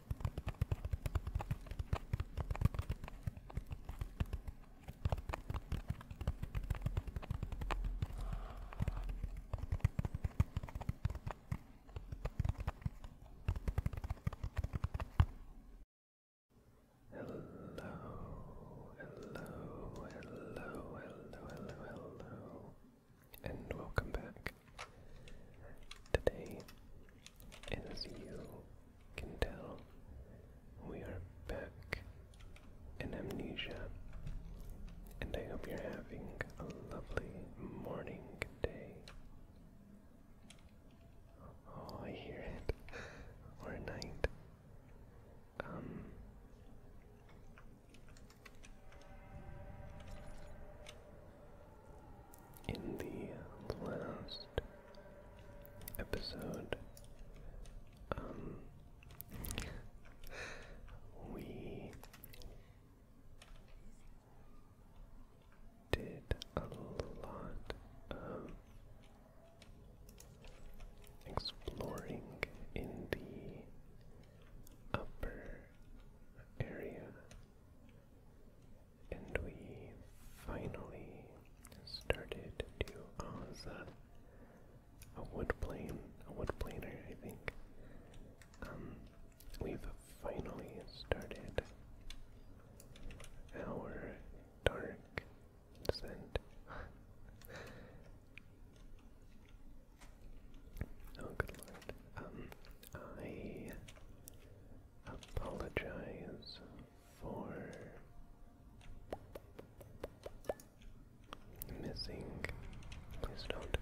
Hello, hello, hello, hello, hello, hello, and welcome back. Today is you can tell, we are back in Amnesia, and I hope you're having a lovely morning day. Oh, I hear it. or night. Um, in the last episode, um, we did a lot of exploring in the upper area and we finally started to Oza, uh, a wood plane, a wood planer, I think. Um, we've finally started our dark descent. oh, good lord. Um, I apologize for missing. Please don't.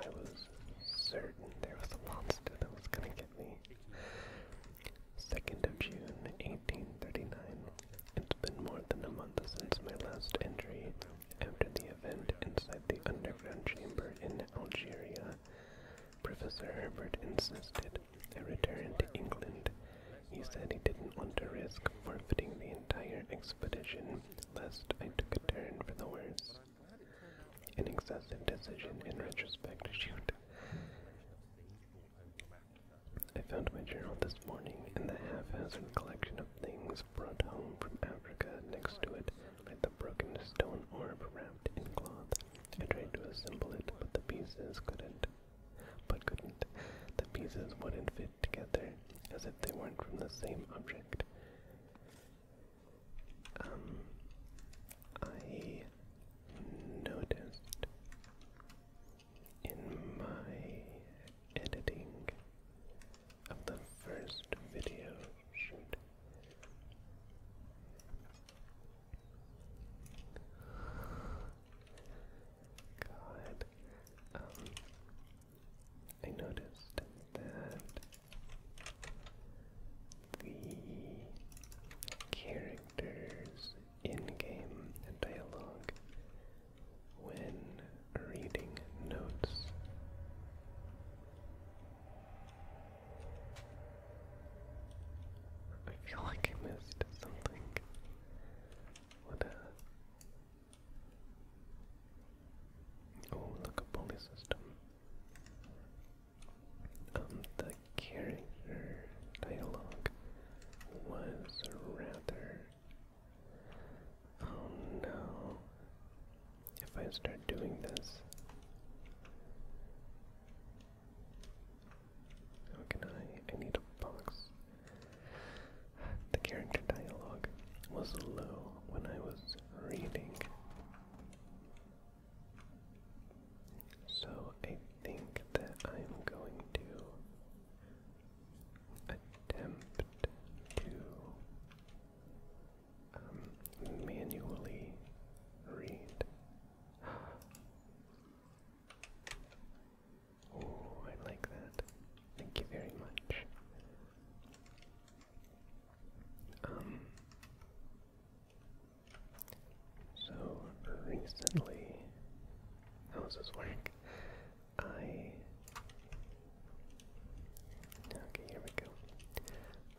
I was certain there was a monster that was gonna get me. 2nd of June, 1839. It's been more than a month since my last entry. After the event inside the underground chamber in Algeria, Professor Herbert insisted a return to England. He said he didn't want to risk forfeiting the entire expedition, lest I took a turn for the worse. An excessive decision in retrospect to shoot. I found my journal this morning in the haphazard collection of things brought home from Africa. Next to it, like the broken stone orb wrapped in cloth. I tried to assemble it, but the pieces couldn't. But couldn't. The pieces wouldn't fit together, as if they weren't from the same object. Um, I noticed in my editing of the first video shoot. God, um, I noticed that the characters in game dialogue when reading notes. I feel like I missed something. What uh, Oh, look, a bully system. Um, the character dialogue was rather Oh no. If I start doing this, how can I? I need a box. The character dialogue was low when I was reading. So I think that I'm going to attempt to um, manually read. Oh, I like that. Thank you very much. Um, so recently, how's this work? I. Okay, here we go.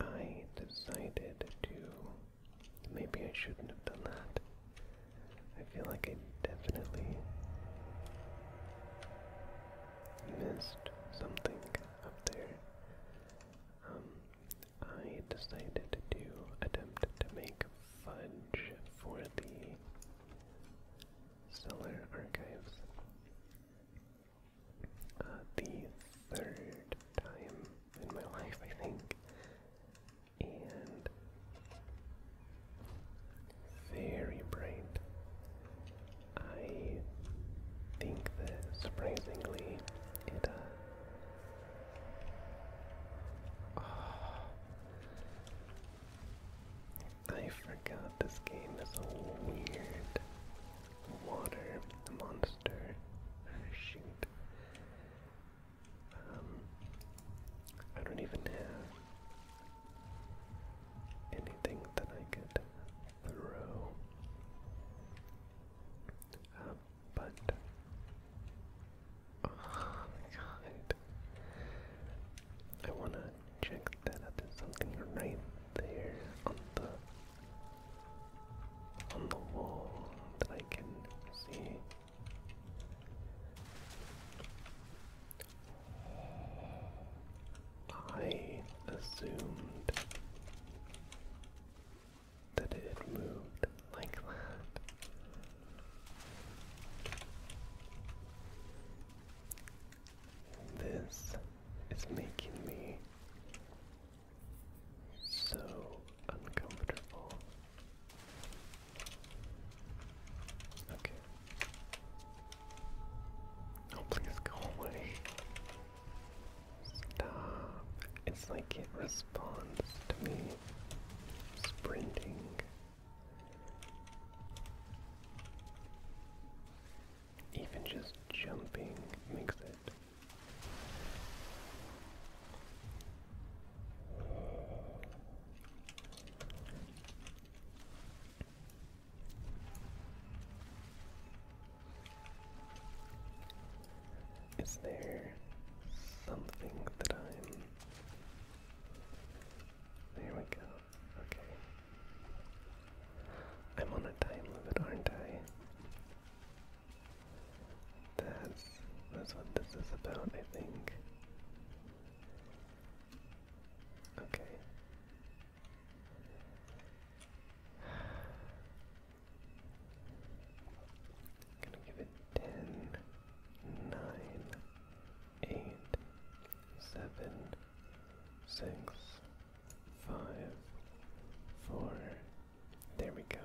I decided to. Maybe I shouldn't have done that. I feel like I definitely missed something up there. Um, I decided to attempt to make fudge for the Stellar Archives. Uh, the third time in my life, I think. And very bright. I think that surprisingly it uh, I forgot this game is a weird water monster. Shoot. Um, I don't even have anything that I could throw. Uh, but oh god, I wanna check that out. something right there on the on the wall that I can see. I assumed that it moved like that. This is making me so uncomfortable. Okay. Oh, please go away. Stop. It's like it responds to me sprinting even just jumping makes it. Is there something that I'm. There we go. Okay. I'm on a time limit, aren't I? That's that's what this is about, I think. Okay. gonna give it ten, nine, eight, seven, six, five, four. There we go.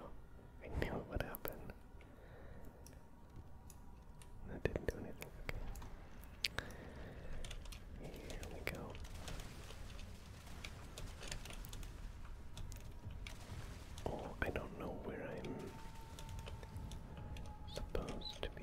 I knew it would happen. That didn't do anything. Okay. Here we go. Oh, I don't know where I'm supposed to be.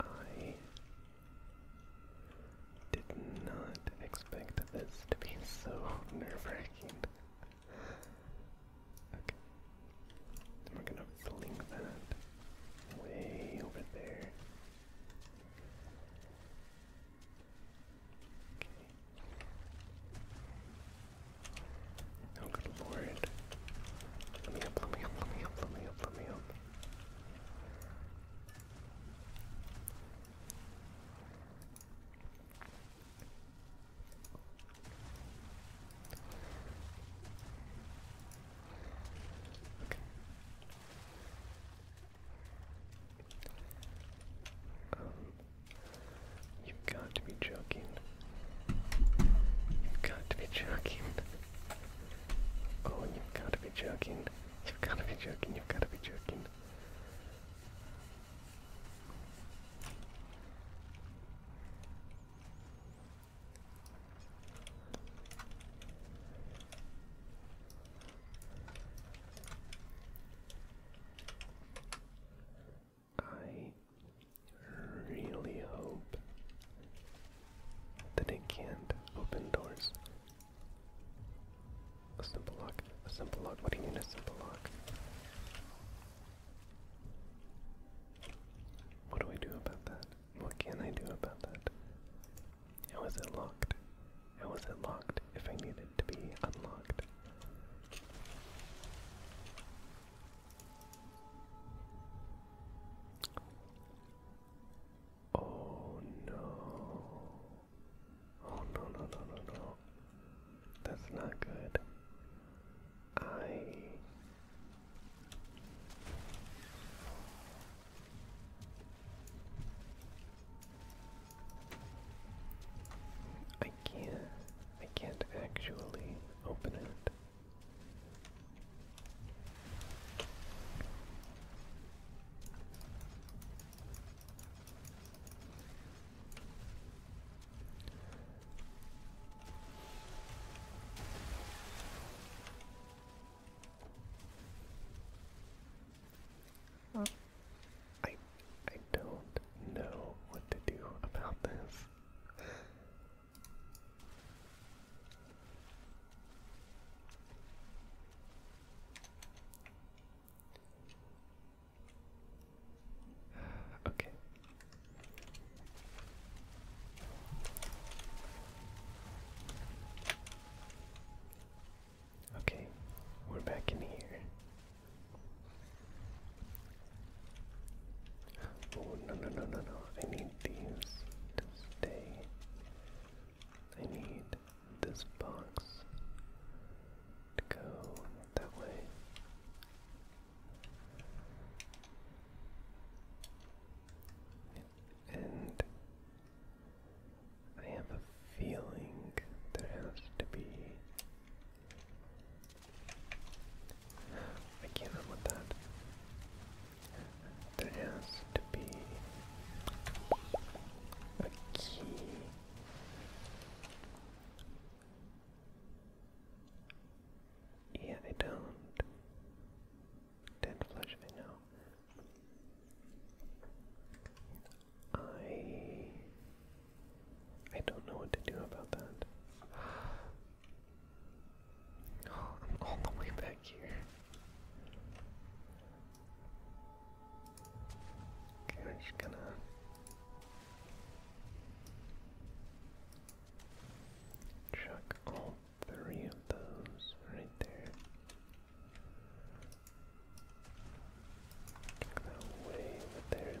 I did not expect this to be so nerve-wracking. Okay. we're gonna fling that way over there. Okay. Oh good lord. Let me up, let me up, let me up, let me up, let me up. Okay. Um, You've got to be joking. You've got to be joking. Oh, you've got to be joking. You've got to be joking. You've got to be joking. I really hope that it can't open doors. A simple lock. A simple lock. What do you mean a simple lock? What do I do about that? What can I do about that? How is it locked? How is it locked if I need it to be unlocked? Oh no. Oh no, no, no, no, no. That's not good. I. I can't. I can't actually open it. Well, I I don't know what to do about this. Okay. Okay, we're back in here. Oh no no no no no! I need these to stay. I need this box to go that way. And I have a feeling there has to be I can't remember that. There has to be a key. Yeah, they don't. Dead flesh, I know. I I don't know what to do about that. Oh, I'm all the way back here. Okay, I'm just gonna. Chuck all three of those right there. Chuck that way over there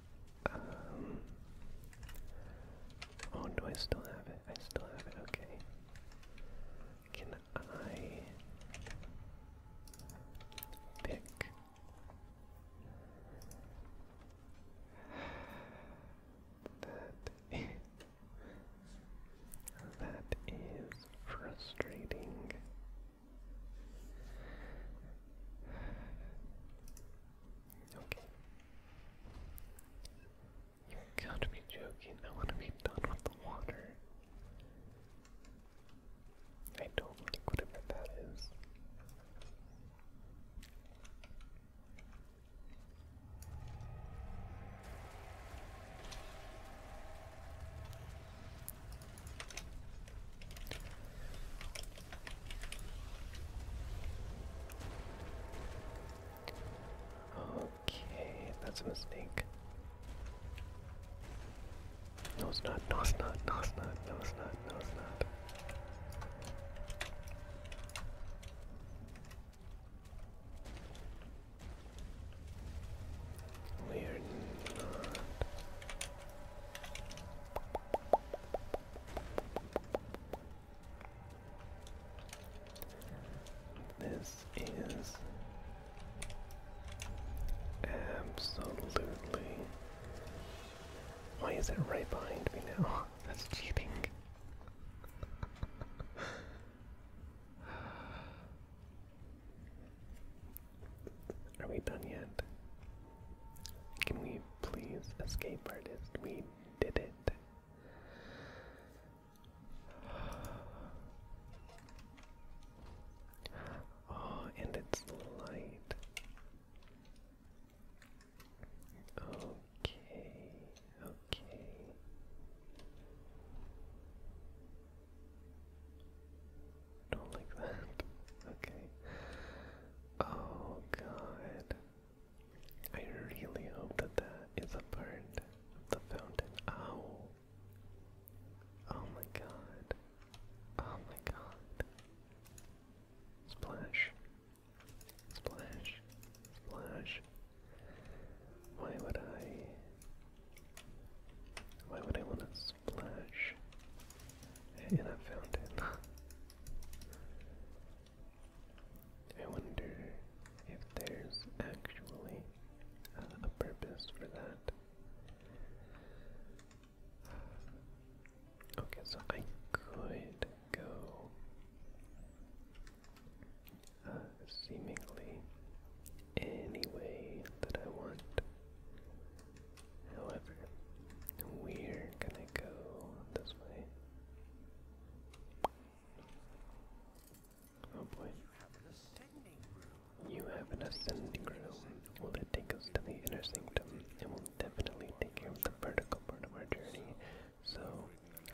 Um, oh, do I still have it? I still have it, okay. Can I pick? that is frustrating. Okay. You gotta joking. I wanna be done with the water. I don't like whatever that is. Okay, that's a mistake. No, it's not. No, it's not. No, it's not. No, it's not. No, it's not. we this is absolutely. Why is it right behind me now? That's cheating. Are we done yet? Can we please escape artist? We did it. Oh, and it's light. Okay, okay. Don't like that. Okay. Oh god. I really hope that that is a part of the fountain. Ow! Oh my god. Oh my god. Splash. Splash. Splash. Why would I. Why would I want to splash? And I found it. I wonder if there's actually a purpose for that. Okay, so I could go uh, seemingly any way that I want. However, we're gonna go this way. Oh boy. You have an ascending room. Will it take us to the inner sanctum? It will definitely take care of the vertical part of our journey. So,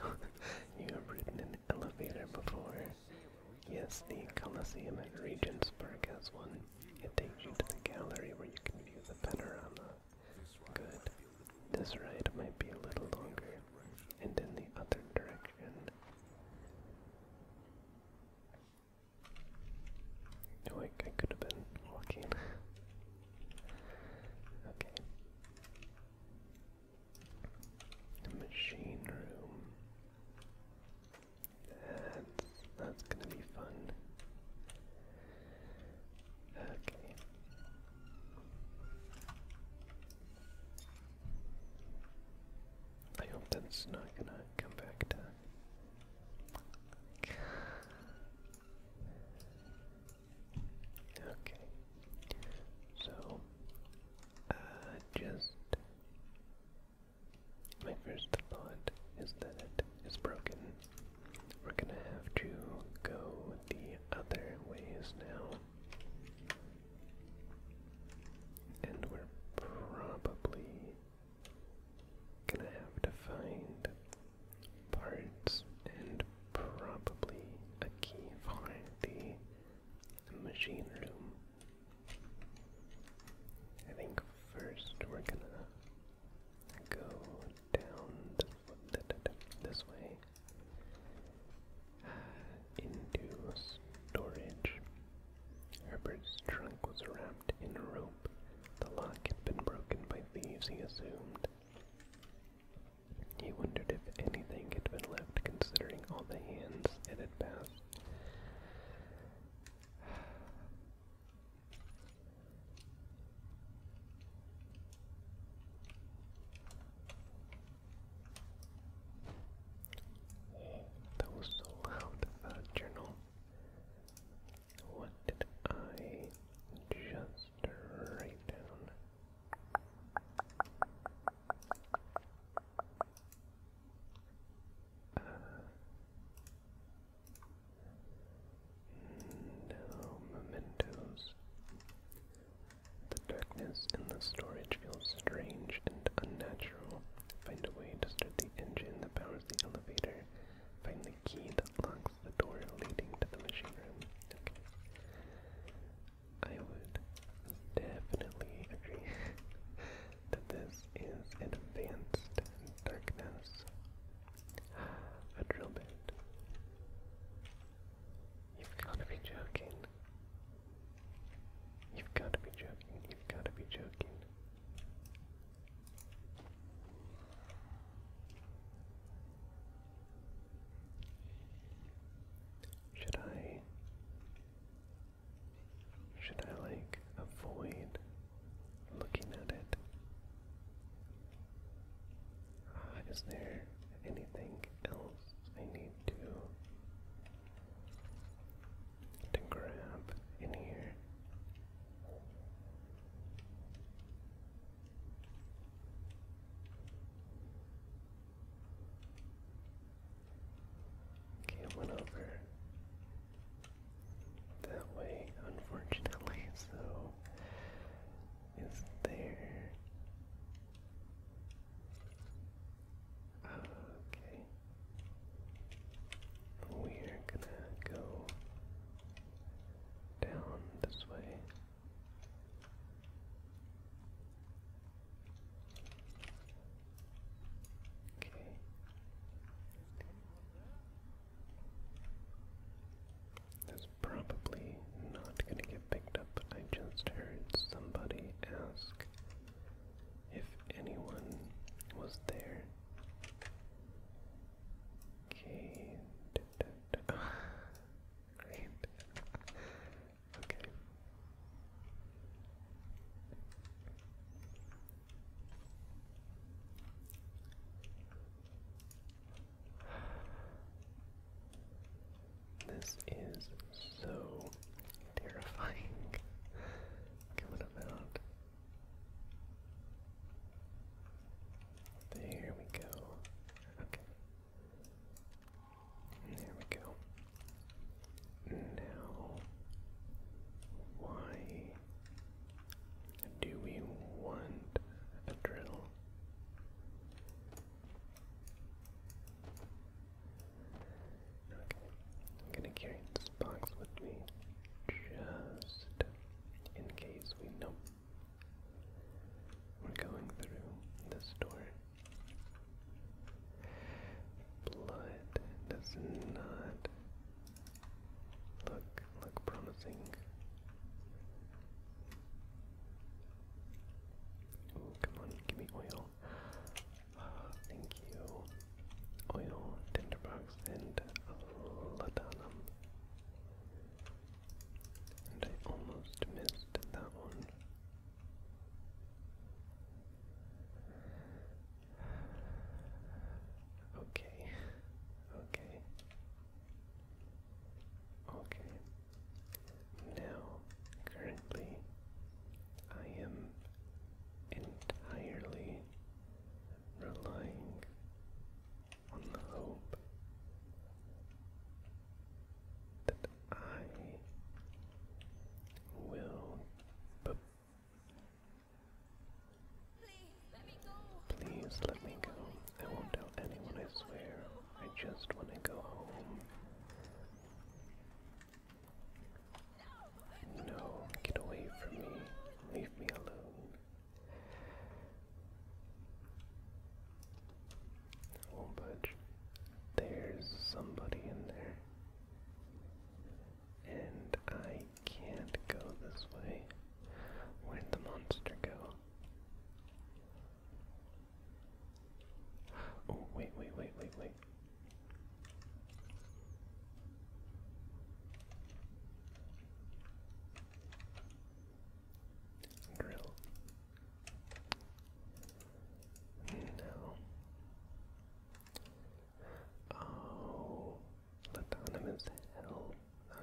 you have ridden an elevator before. Yes, the Colosseum at Regensburg has one. It takes you to the gallery where you can view the panorama Good. This ride might be a little longer. And in the other direction. No, oh, I, could have been walking. okay. machine room. That's that's gonna be fun. Okay. that's not gonna come back down. Okay. So, uh, just. My first thought is that it is broken we're gonna have to go the other ways now. And we're probably gonna have to find parts and probably a key for the machine room. I think first we're gonna go down this way uh, into storage. Herbert's trunk was wrapped in a rope. The lock had been broken by thieves, he assumed. He wondered if anything had been left, considering all the hands it had passed. Oh, that was so loud, that journal. What did I just write down? Uh, now, mementos. The darkness in the storage feels strange and unnatural. Find a way to start the engine that powers the elevator. Find the key that locks the door leading to the machine room. I would definitely agree that this is an advanced darkness. A drill bit. You've got to be joking. You've got to be joking. You've got to be joking. Should I should I like avoid looking at it. Uh, there anything else I need to to grab in here? Okay, I over that way, unfortunately, so is there. Okay. We are gonna go down this way. Okay. That's probably not going to get picked up, but I just heard somebody ask if anyone was there. Okay. Okay. This is so terrifying. okay, what There we go. Okay. There we go. Now, why do we want a drill? Okay, I'm gonna carry this box with me just in case we know we're going through this door. Blood does not Look, look promising. Oh, come on, give me oil. Uh, thank you. Oil, tinderbox, and ladanum. And I almost missed that one. Okay, okay. Okay. Now, currently, I am entirely relying on the hope that I will Please let me go. I won't tell anyone, I swear. I just want to go home. No, get away from me. Leave me alone. Won't oh, budge. There's somebody in there. And I can't go this way. Where'd the monster go? Oh, wait, wait, wait, wait, wait. Grill. No. Oh, let down Autonomous hell.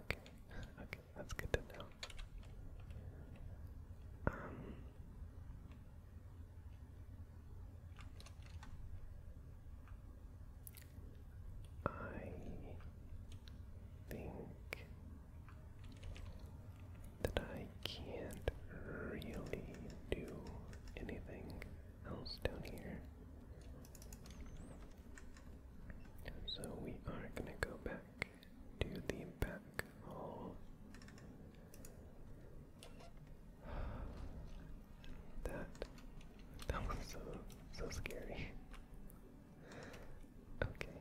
Okay, okay, that's good to know. Um, I think that I can't really do anything else down here. So we are going to go back to the back hall. That that was so so scary. Okay.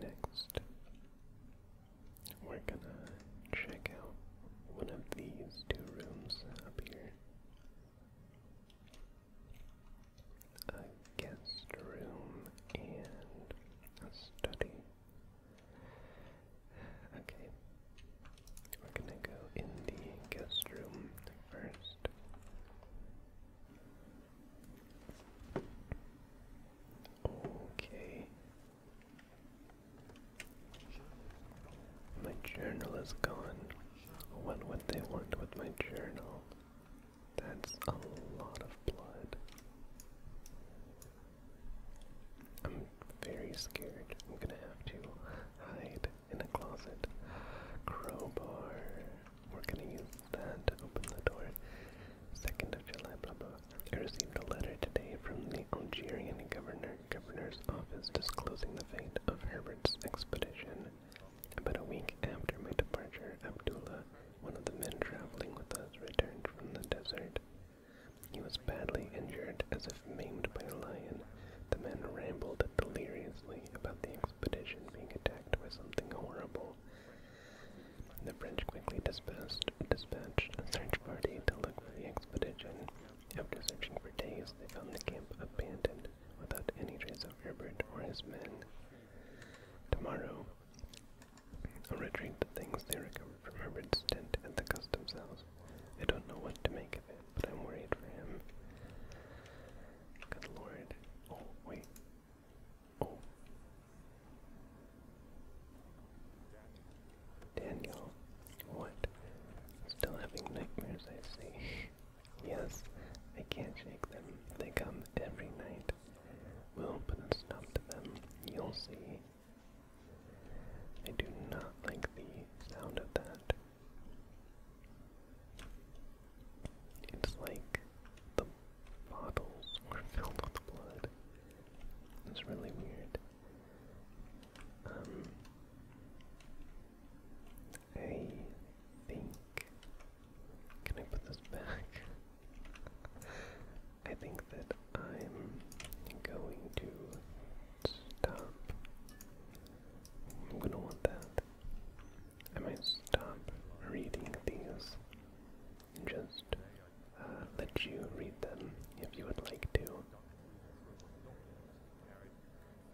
Next, we're gonna check out one of these two rooms up here a guest room and a study. Okay, we're gonna go in the guest room first. Okay. My journal is gone. What would they want with my journal? That's a lot of blood. I'm very scared. I'm gonna have to hide in a closet. Crowbar. We're gonna use that to open the door. Second of July, I received a letter today from the Algerian governor governor's office disclosing the fate of Herbert's expedition. About a week after my departure, Abdullah, one of the men traveling with us, returned from the desert. He was badly injured, as if maimed by a lion. The men rambled deliriously about the expedition being attacked by something horrible. The French quickly dispatched a search party to look for the expedition, after searching for days, they found the camp abandoned without any trace of Herbert or his men. Tomorrow, I'll retrieve the things they recovered from Herbert's tent and the customs house. I don't know what to make of it, but I'm worried for him. Good lord. Oh, wait. Oh. Daniel. What? Still having nightmares, I see. yes, I can't shake them. They come every night. We'll put a stop to them. You'll see. I do not like the sound of that. It's like the bottles were filled with blood. It's really weird. Um, I think. Can I put this back? I think that I'm going to stop. I'm gonna want that. I might stop reading these and just uh, let you read them if you would like to.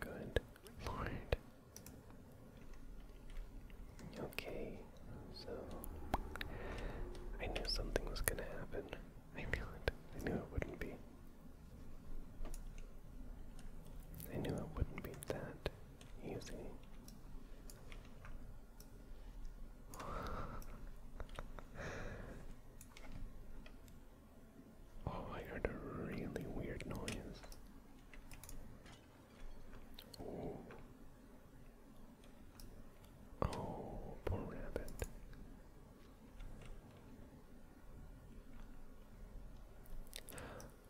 Good Lord. Okay, so I knew something was gonna happen. I knew it. I knew it wouldn't be. I knew it wouldn't be that easy. Oh, I heard a really weird noise. Oh. Oh, poor rabbit.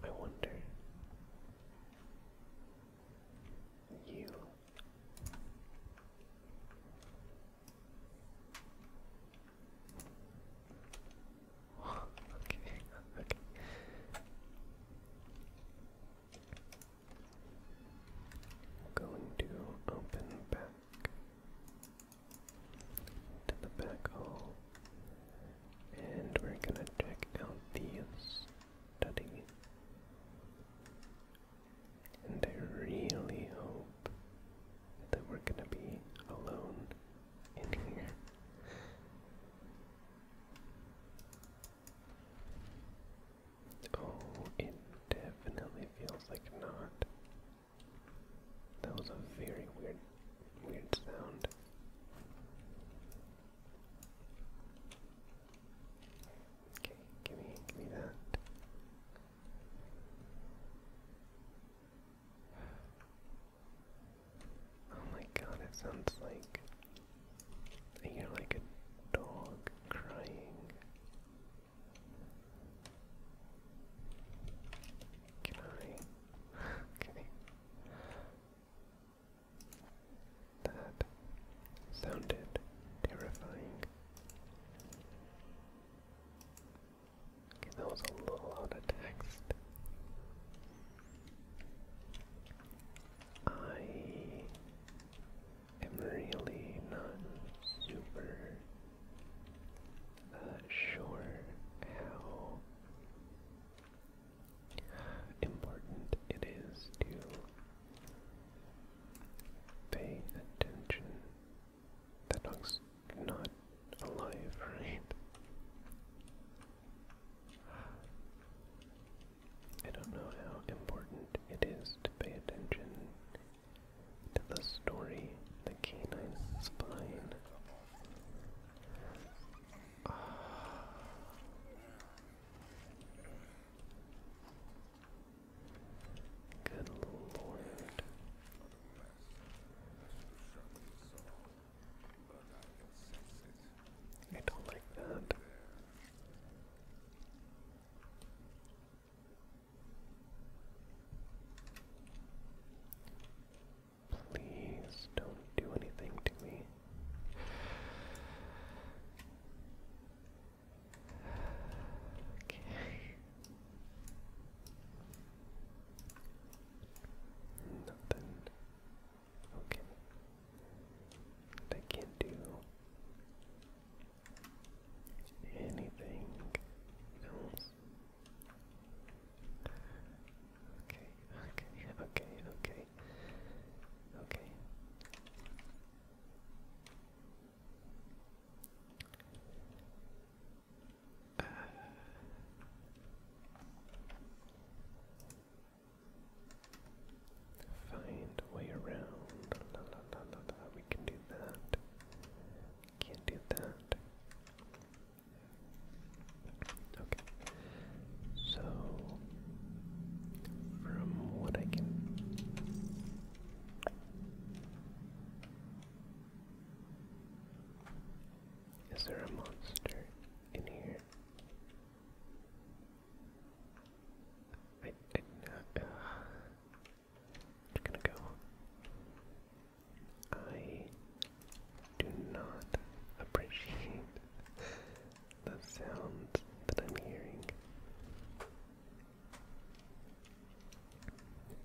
I wonder. You okay, okay. Going to open back to the back hall, and we're gonna check out these study. And I really hope that we're gonna be alone Oh, it definitely feels like not. That was a very weird, weird sound. Okay, give me, give me that. Oh my god, it sounds like I hear like a dog crying. Can That sounded terrifying that was a little out of text. I am really not super uh, sure how important it is to pay attention. That dog's not alive, right? I don't know how important it is to pay attention to the story, the canine spine. Good lord. I don't like that. Please don't do anything to me. Okay. Nothing. Okay. They can't do anything else. Okay, okay, okay, okay. Okay find way around. We can do that. Can't do that. Okay. So, from what I can. Is there a monster in here? I uh, I'm gonna go. I do not appreciate the sounds that I'm hearing.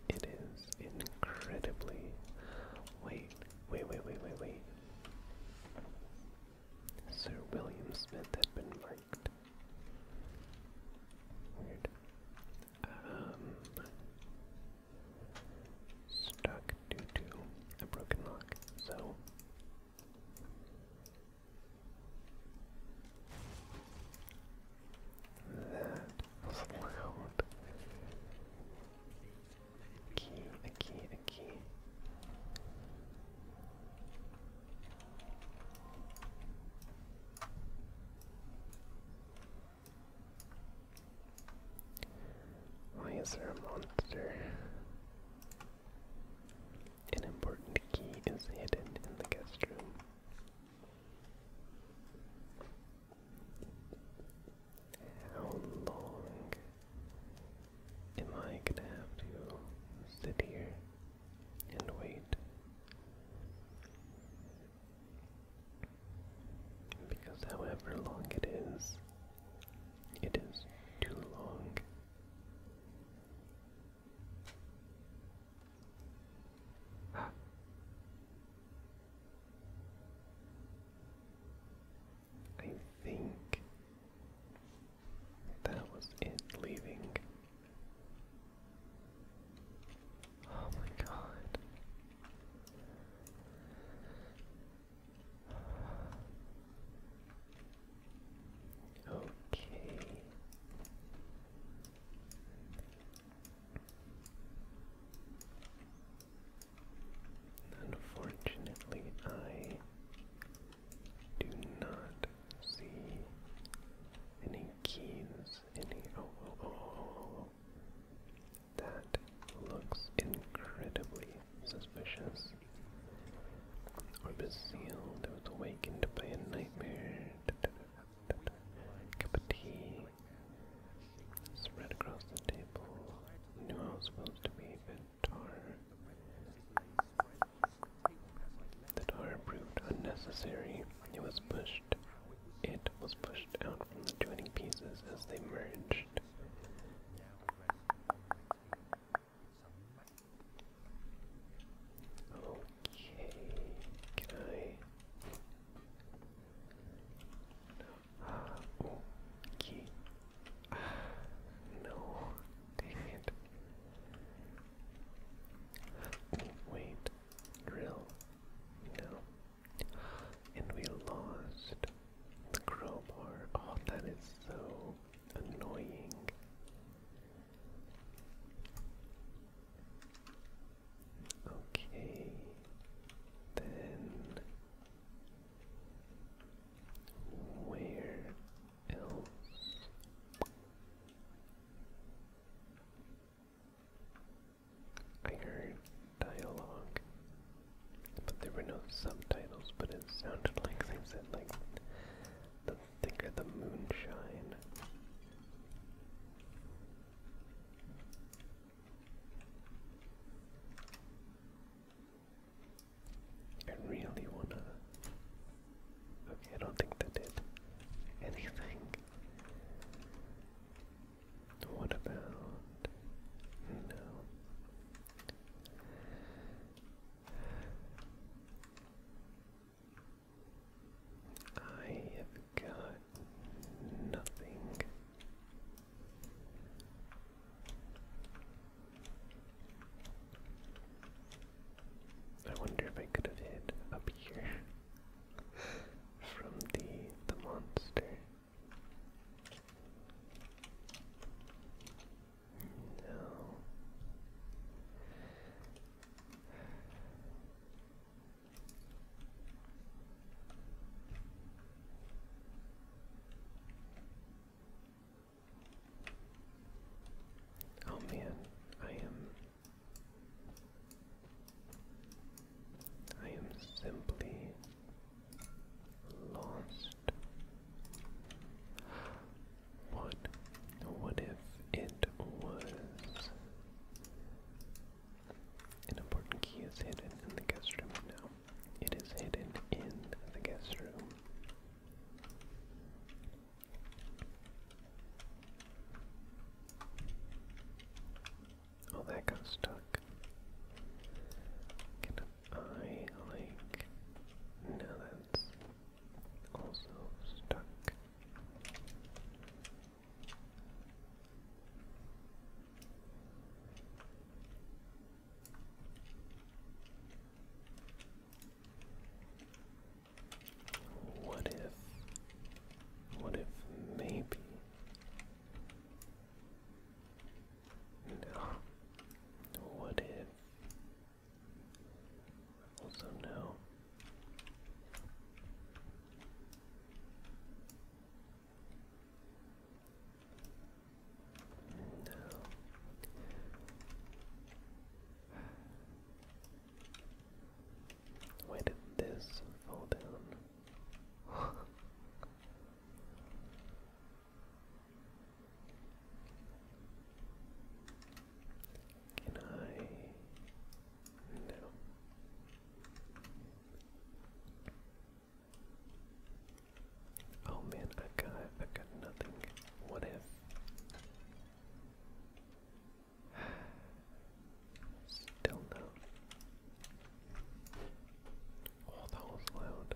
It is incredibly. Wait, wait, wait, wait, wait, wait. Sir William Smith had been marked. Weird. Um. Stuck due to a broken lock, so. That it's loud. key, a key, a key. Why is there a monster? An important key is hidden in the guest room. How long am I gonna have to sit here and wait? Because however long it is, it is too long. I think that was it leaving. Oh my god. Okay. Unfortunately, I do not see any keys. Any oh oh oh oh oh! oh, oh, oh. That looks incredibly suspicious. Orb is sealed. I was awakened by a nightmare. Cup of tea. Spread across the table. Knew I was supposed to be a bit tar. The tar proved unnecessary. It was pushed. It was pushed out from the joining pieces as they merged. Okay, can I Oh, key. Ah, no, dang it. Oh, wait, drill. No. And we lost the crowbar. Oh, that is so annoying. Okay, then where else? I heard dialogue, but there were no subtitles, but it sounded like they said, like, the thicker the moonshine. I really wanna. Okay, I don't think that did anything. What about. No. I have got nothing. I wonder if I could have hid up here from the the monster. No. Oh man, I am I am simply lost. What what if it was an important key is hidden in the guest room now. It is hidden in the guest room. Oh, that got stuck. I, like... No, that's also stuck. What if, what if maybe? No. What if? Also, no. No. Why did this fall down? Can I? No. Oh man, I got I got nothing. What if? Still no. Oh, that was loud.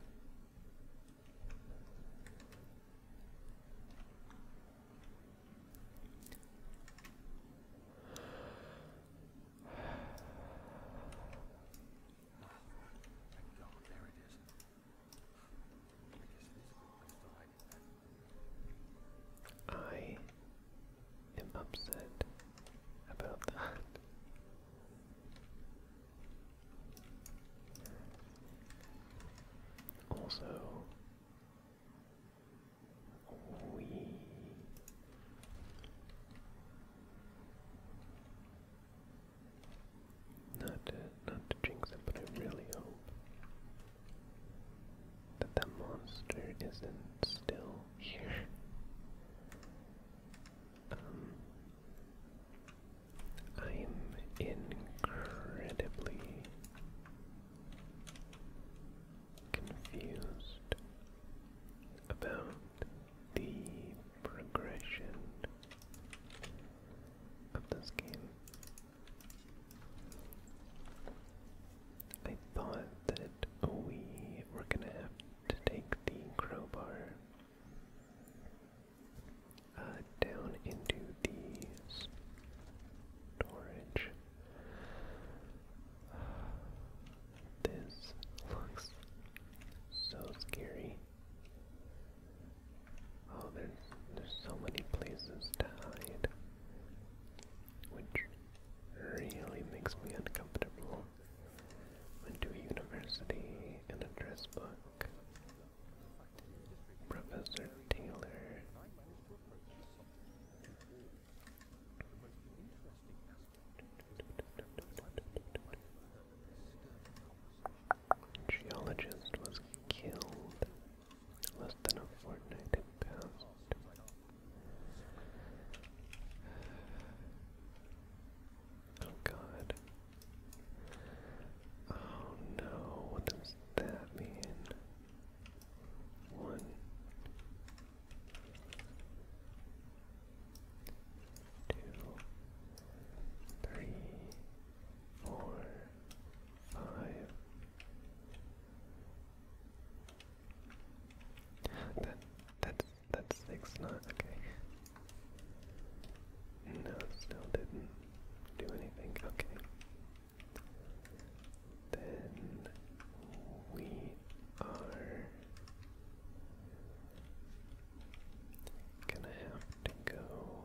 I I am upset about that. Also, not to, not to jinx it, but I really hope that that monster isn't still here. Um, I'm incredibly confused about the progression of this game. I thought that we were gonna have to take the crowbar uh, down into the storage this looks so scary. Oh, there's there's so many places to hide, which really makes me uncomfortable. Went to university in a dress book. Professor Taylor. Geologist was killed less than a fortnight had passed. Oh god. Oh no, what does that mean? One, two, three, four, five. That that's that's six, not okay. No, still didn't do anything. Okay then we are gonna have to go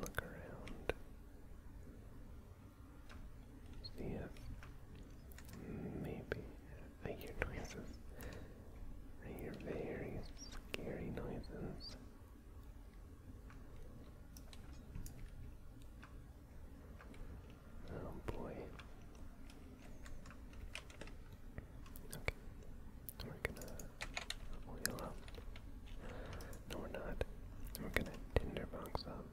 look around. See if maybe I hear noises. I hear very scary noises. Oh boy. Okay. We're gonna wheel up. No, we're not. We're gonna tinderbox up.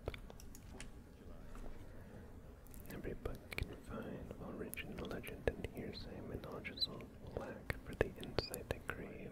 Every book you can find will rich in legend and hearsay, mythological lack for the insight they crave.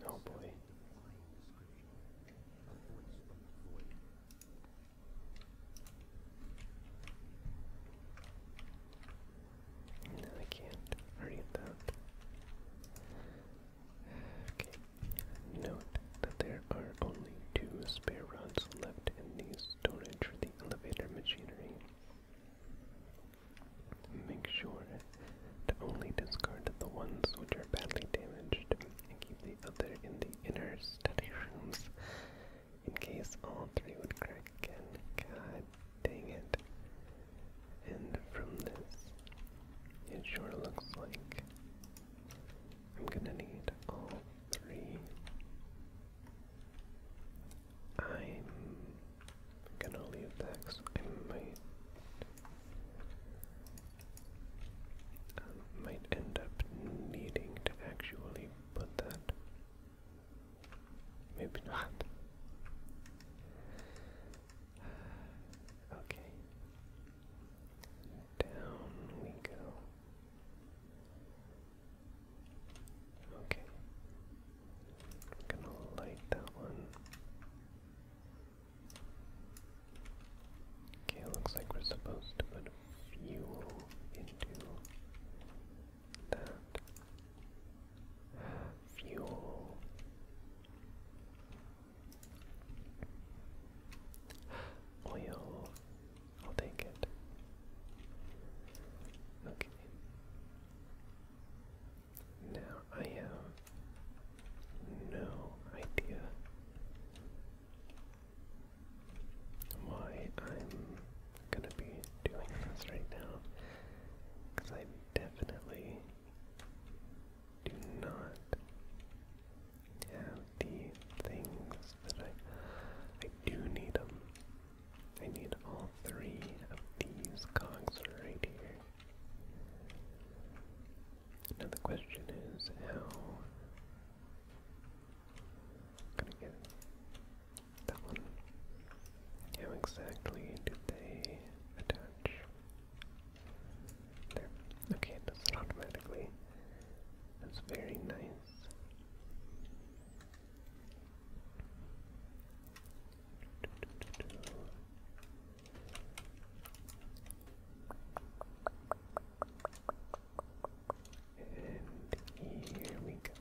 No oh, boy. No, I can't read that. Okay. Note that there are only two spare rods left in the storage for the elevator machinery. Make sure to only discard the ones which are badly damaged and keep the other in the inner study rooms in case all three would crack again. God dang it. And from this, it sure looks like I'm gonna need all three. I'm I'm gonna leave that I might. Um, might end up needing to actually put that. Maybe not. Okay. Down we go. Okay. gonna light that one. Okay, looks like we're supposed to put fuel into that. Fuel. Oil. I'll take it. Okay. Now I have no idea why I'm gonna be doing this right now, because I definitely do not have the things that I I do need them. I need all three of these cogs right here. Now the question is how gonna get that one. How exactly did they attach? There. Okay, it does it automatically. That's very nice. And here we go.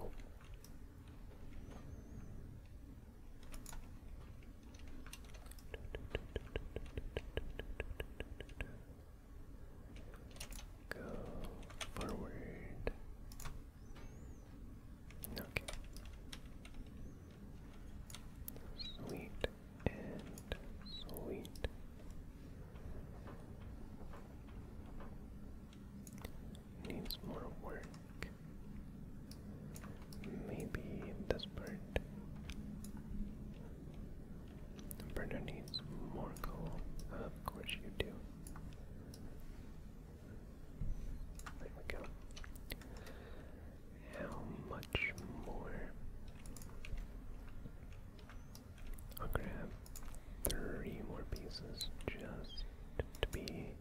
Oh. Go forward. Okay. Sweet and sweet. Needs more work. Maybe this part. Burner needs more coal. Of course you do. There we go. How much more? I'll grab three more pieces just to be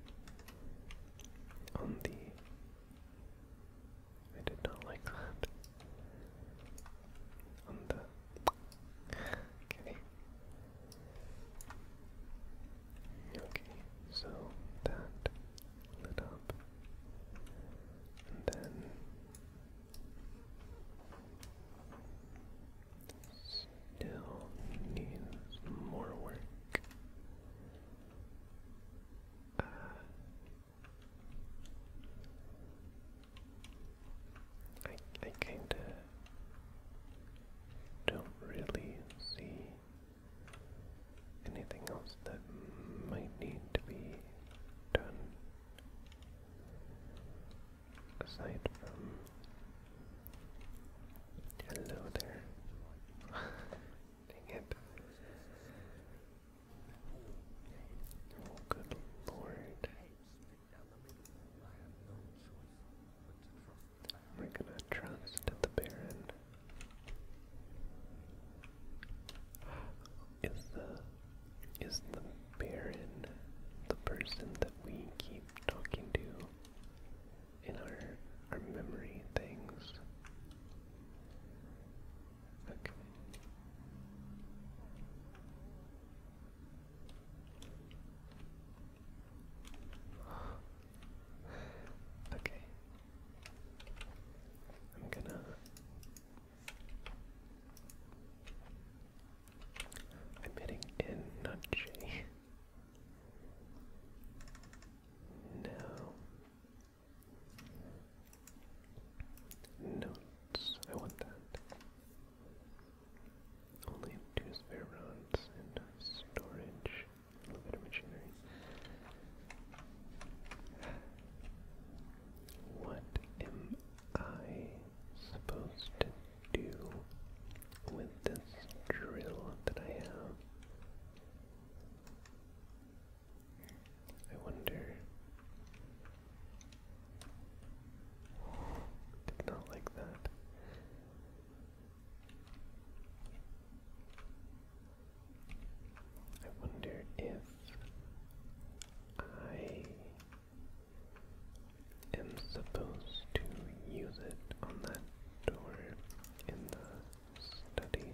on the I did not like that. okay. Okay, so that lit up. And then still needs more work. I I kinda don't really see anything else that might need to be done aside from hello there. Dang it. good lord. We're gonna trust the Baron. Is the is the Baron the person that we keep talking to in our our memory things? Okay. okay. I'm gonna. I'm hitting in, not J. No. Notes. I want that. Only two spare rods and storage. A little bit of machinery. What am I supposed to do with this drill that I have? I wonder. Did not like that. I wonder if I am supposed to use it on that door in the study.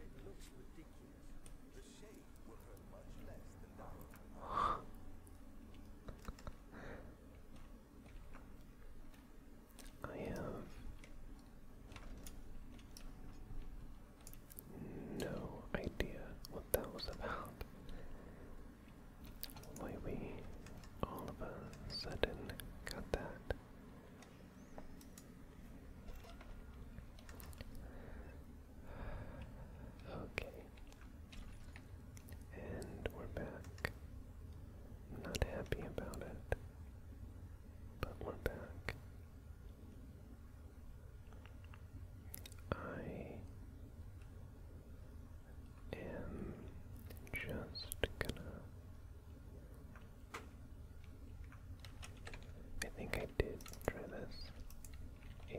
it looks ridiculous. The shade will hurt much less than I have no idea what that was about. Why we all of a sudden got that. Okay. And we're back. not happy about it, but we're back. I am just gonna. I think I did try this. Yeah,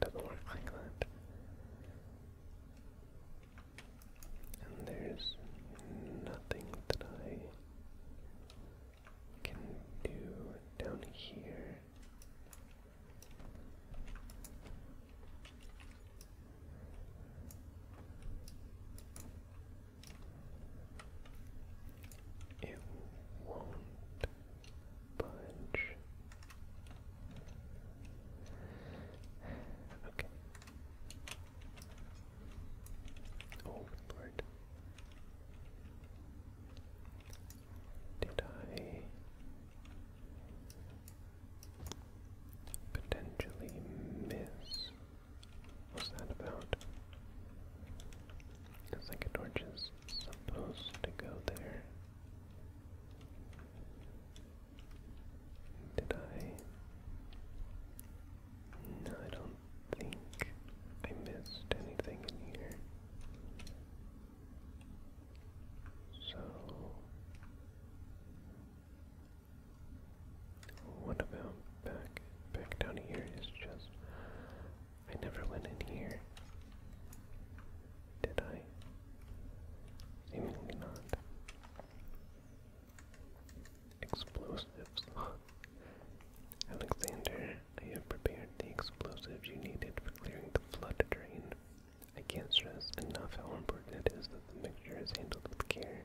doesn't work like that. And there's nothing that I can do down here. It won't budge. Okay. Oh Lord. Did I Potentially miss. What's that about? The second supposed to go there. Did I? No, I don't think I missed anything in here. So what about back back down here is just I never went in here. Did I? Seemingly not. Explosives. Alexander, I have prepared the explosives you needed for clearing the flood drain. I can't stress enough how important it is that the mixture is handled with care.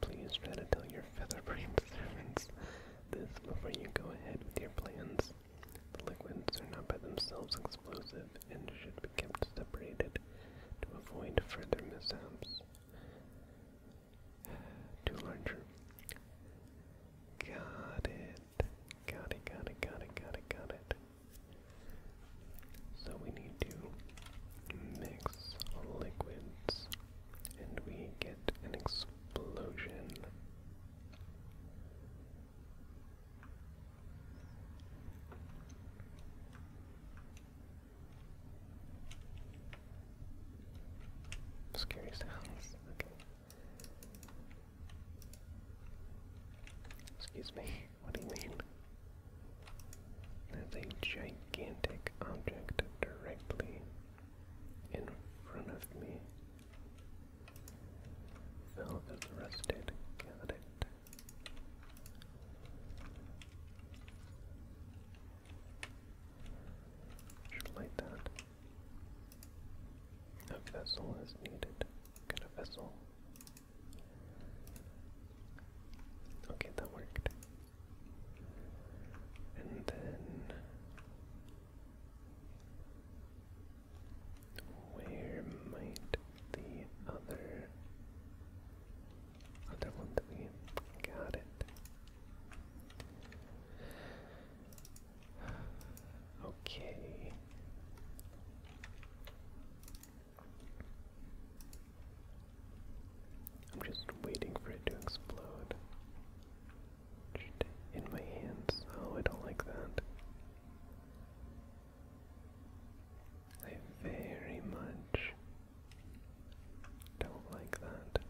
Please try to tell your featherbrained servants this before you go ahead with your plans. The liquids are not by themselves explosive and should be kept separated to avoid further mishaps. Too larger. Got it. Got it, got it, got it, got it, got it. So we need to mix liquids and we get an explosion. Scary sounds. Okay. Excuse me. What do you mean? There's a gigantic object directly in front of me. Phil arrested. Got it. Should light that. A vessel is needed. Get a vessel. Okay, that worked. And then where might the other other one that got it? Okay. I'm just waiting for it to explode. In my hands. Oh, I don't like that. I very much don't like that.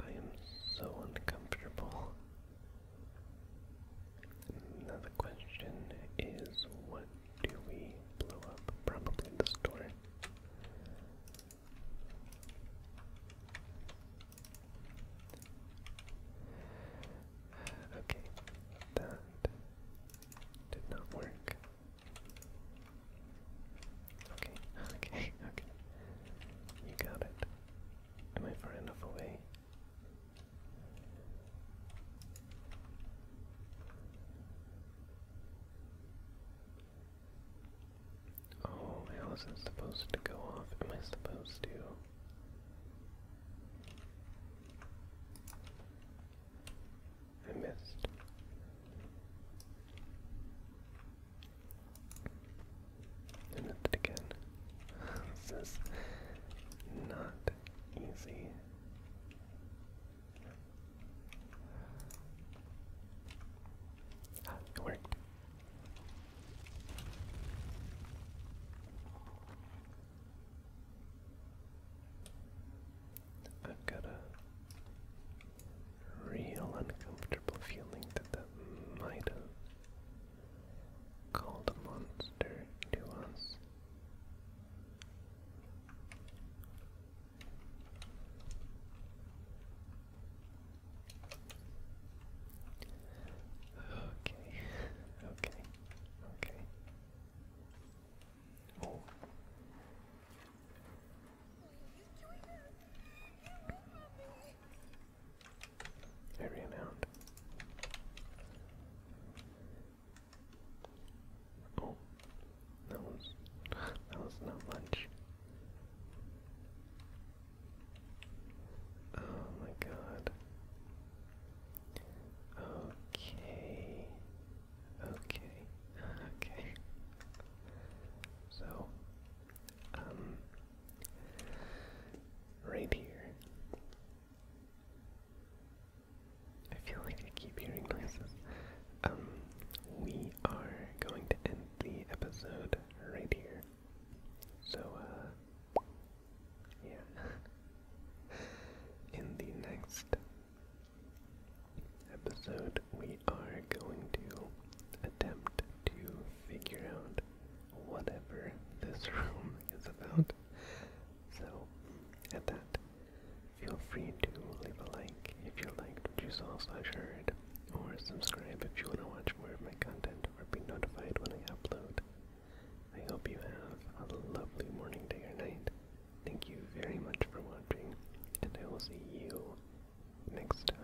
I am so uncomfortable. Now question is what do we blow up? Probably the store. Okay, that did not work. Okay, okay, okay. You got it. Am I far enough away? Oh, how is it supposed to go off? Am I supposed to? I missed. I missed it again. this is not easy. Ah, it worked. I've got a real uncomfortable feeling that that might have called a monster to us. Okay, okay, okay. Oh. out. Oh, that was that was not much. Oh my god. Okay. Okay, okay. So, um, right here. I feel like I keep hearing noises. Um, we are going to end the episode right here. So, uh, yeah. In the next episode, we are going to attempt to figure out whatever this room is about. So, at that, feel free to leave a like if you liked what you saw slash heard, or subscribe if you want to watch more of my content or be notified when I upload. I hope you have a lovely morning, day, or night, Thank you very much for watching, and I will see you next time.